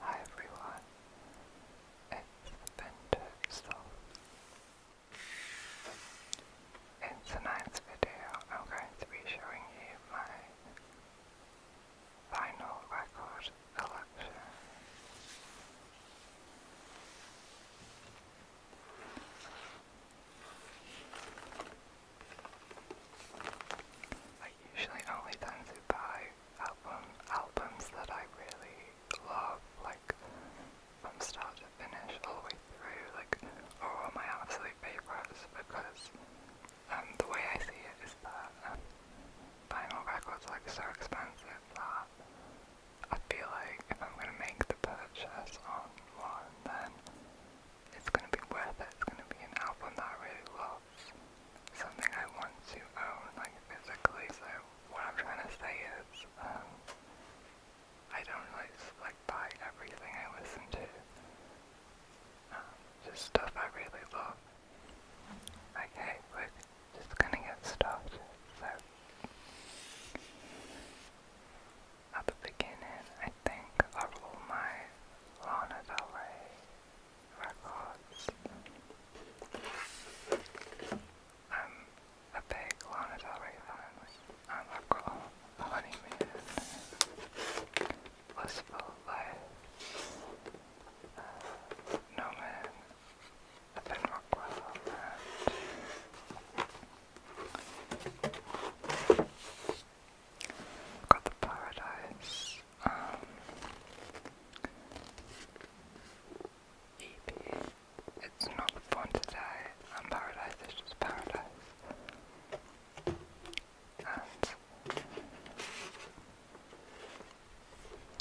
Hi everyone, it's Bender Soft in tonight's video, I'm going to be showing you my vinyl record collection. I usually only tend to buy albums that I really love, like from start to finish all the way through, like all my absolute favourites because um, the way I see it is that um, vinyl records are like so expensive that I feel like if I'm going to make the purchase on one then it's going to be worth it, it's going to be an album that I really love, something I want to own like physically so what I'm trying to say is um, I don't like like buy everything I listen to. Um, just stuff I really love. Okay, we're just gonna get started. So at the beginning, I think of all my Lana Del Rey records. I'm um, a big loner, Del Rey fan, and a honeymoon, blissful life, uh, no man, got the paradise, um, EP. It's not born to die, paradise is just paradise.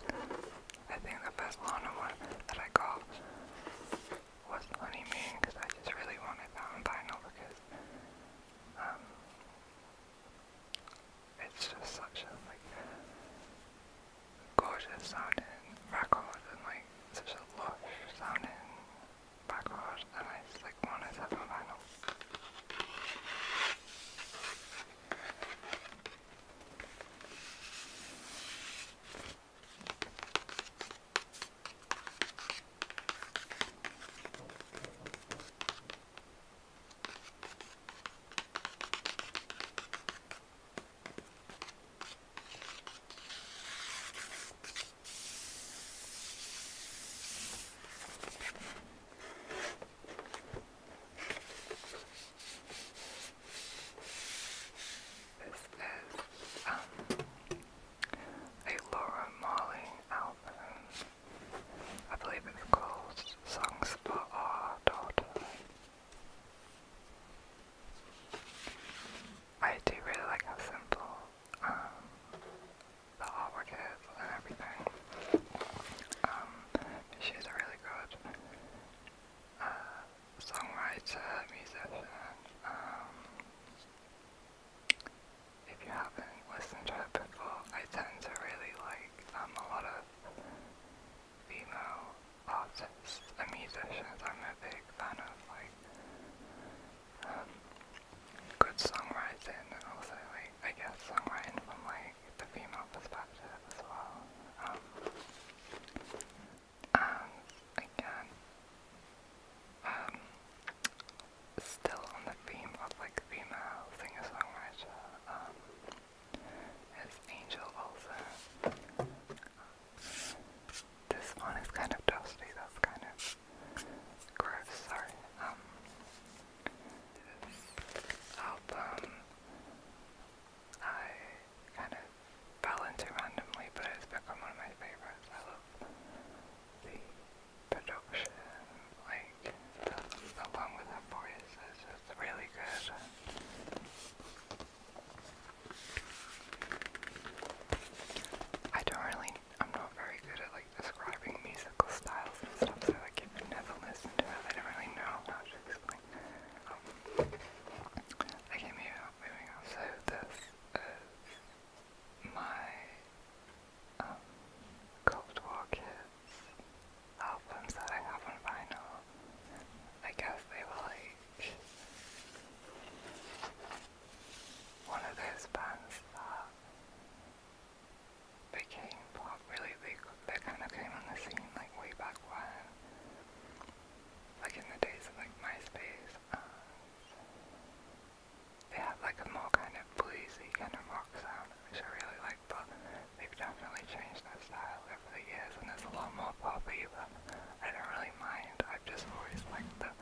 And I think the Barcelona one that I got was honeymoon because I just really wanted that vinyl because um, it's just such a like gorgeous sounding record and like such a lush sounding record and I just like wanted to have a vinyl. This is um, a Laura Marley album. I believe it's called Songs for Our Daughter. I do really like how simple um, the artwork is and everything. Um, she's a really good uh, songwriter, musician. Um, if you haven't listened to her before, I tend to really like um, a lot female artists musicians I'm a big fan of, like, um, good songwriting and also, like, I guess songwriting from, like, the female perspective as well. Um, again, um, still on the theme of, like, female singer-songwriter, um, as Angel also. This one is kind of dusty, that's kind of gross, sorry. Um, this album, I kind of fell into randomly, but it's become one of my favorites. I love the production, like, make along with the voice is really good. I don't really, I'm not very good at like describing musical styles and stuff, so like if you never listen to it, I don't really know how to explain. Um, okay, maybe moving on. So this is my um, Cold War Kids albums that I have on vinyl. I guess they were like one of those bands that became pop really they, they kind of came on the scene like way back when like in the days of like MySpace they had like a more kind of bluesy kind of rock sound which I really like, but they've definitely changed that style over the years, and there's a lot more poppy, but I don't really mind. I've just always liked them.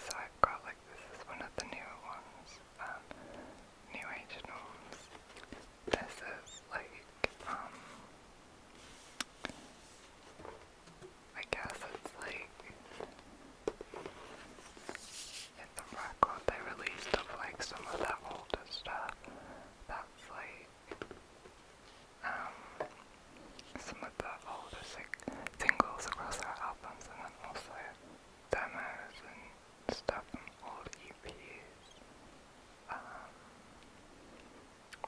So I've got, like, this is one of the newer ones, um, New Age Norms. This is, like, um, I guess it's like in the record they released of like some of their older stuff. That's like um some of the older singles across their albums and then also demos and stuff from old EPs. Um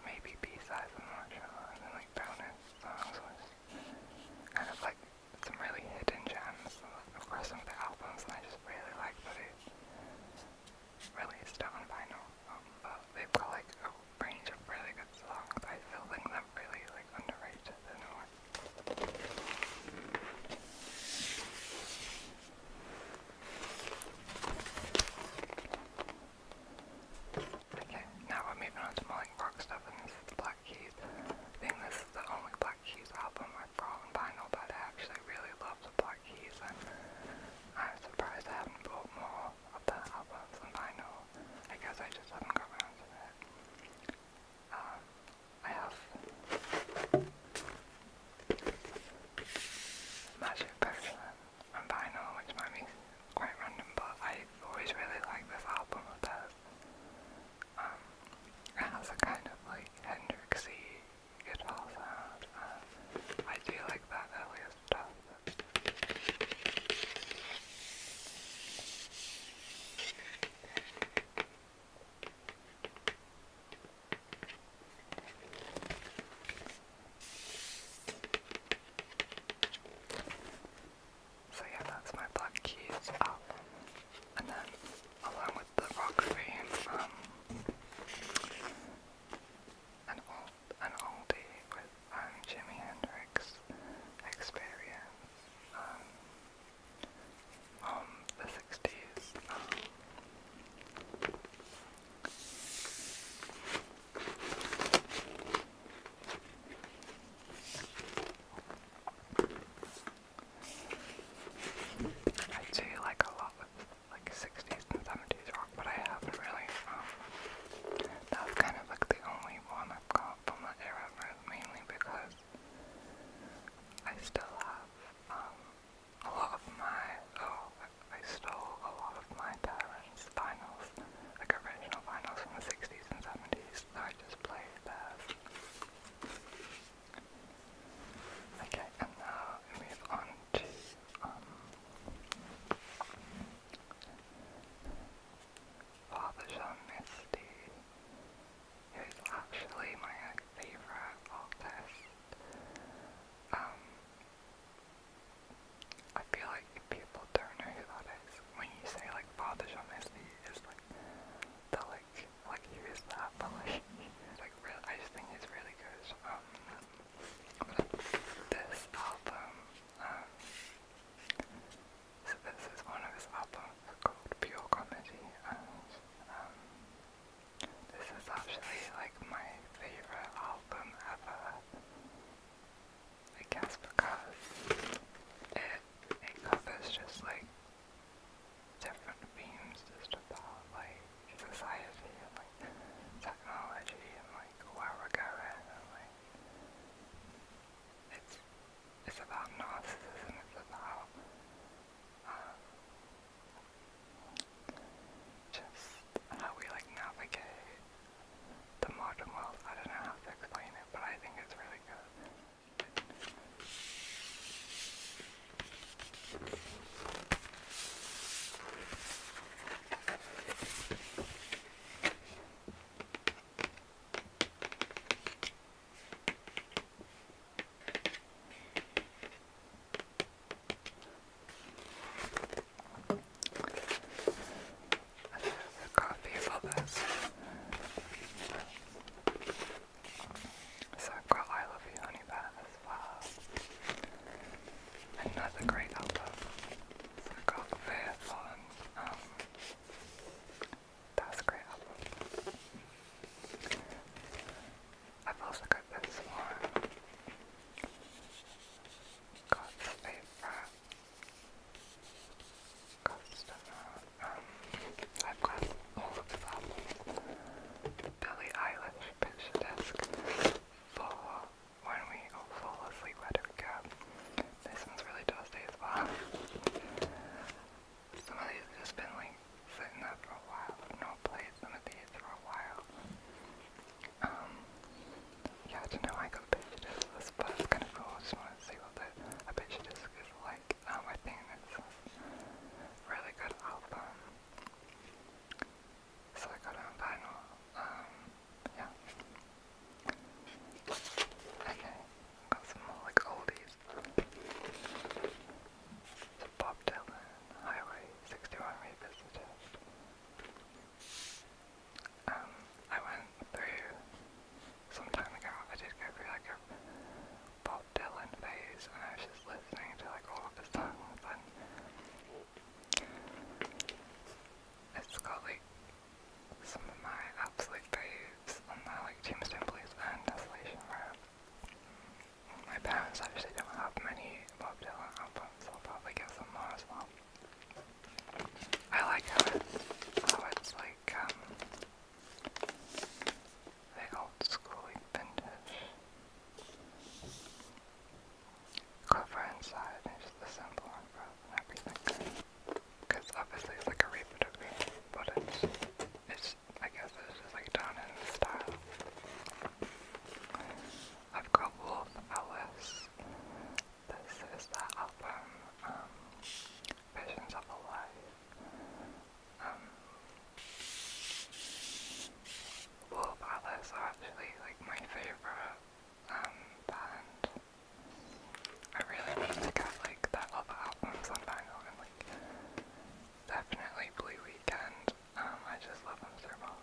maybe B sides I'm not sure and then like bonus songs was kind like some really hidden gems of course. some of the albums, and I just really like but they released on vinyl. Um, but they've like a range of really good songs. I still think they're really like underrated Okay, now we're moving on to more like rock stuff, and this is the Black Keys. I think this is the only Black Keys album I've brought on vinyl, but I actually really love the Black Keys, and I'm surprised I haven't bought more of the albums on vinyl. I guess I just haven't got around to it. Um, I have Magic Person on vinyl, which might be quite random, but I always really like this album of theirs. Um, it has a kind of like Hendrixy guitar sound. Um, I do like that earlier stuff. But... So yeah, that's my Black Keys album. And then, along with the rock theme, um, an old, an oldie with um, Jimi Hendrix, Experience, um, the 60s, I do like a lot of like 60s and 70s rock, but I haven't really, um, that's kind of like the only one I've got from that era, mainly because I still have, um, a lot of my, oh, I stole a lot of my parents' vinyls, like original vinyls from the 60s and 70s, I just play bears. Okay, and now move on to um, Father John Misty, who is actually my favourite artist. Um, I feel like people don't know When you say like Father John Wesley, it's like the like like who is that? But like really, I just think it's really good. Um, this album, um, so this is one of his albums called Pure Comedy, and um, this is actually like my favorite album ever. I guess because it it just like different themes just about like society and like technology and like where we're going and like it's it's about narcissism, it's about um, just how we like navigate the modern world. I don't know how to explain it, but I think it's really good. Another coffee for this. So I've got I Love You Honey Bat as well. Another great album. I've got Faith on. Um, that's a great album. I've also got this one. God's Favorite Customer. Um, I've got all of this album. Billie Eilish pitch desk for when we all fall asleep at a cab. This one's really dusty as well. Some of these have just been like sitting there for a while. I've some of these for a while. Um, yeah, I don't know I got a picture but it's kind of cool. I just wanted to see what the, a picture is like. Um, I think it's a really good album. So I got it vinyl. Um, yeah. Okay, got some more like oldies. Bob Dylan, Highway 61 Revisited. Um, I went through some time ago, I did go through like a Bob Dylan phase and I was just listening to like all of his songs and it's got like some of my absolute faves on there, like Tombstone Blues and Desolation Row. My parents actually don't have many Bob Dylan albums, so I'll probably get some more as well. I like how, it's like um, the old schooly vintage cover inside and just the simple on front and everything. Because obviously it's like a reprint but it's, it's, I guess it's just like down in style. I've got Wolf Alice. This is that album, um, Visions of a Life. Um, Wolf Alice are actually like my favourite um, band. I really need to get like that other albums on vinyl and like definitely Blue Weekend um, I just love them so much.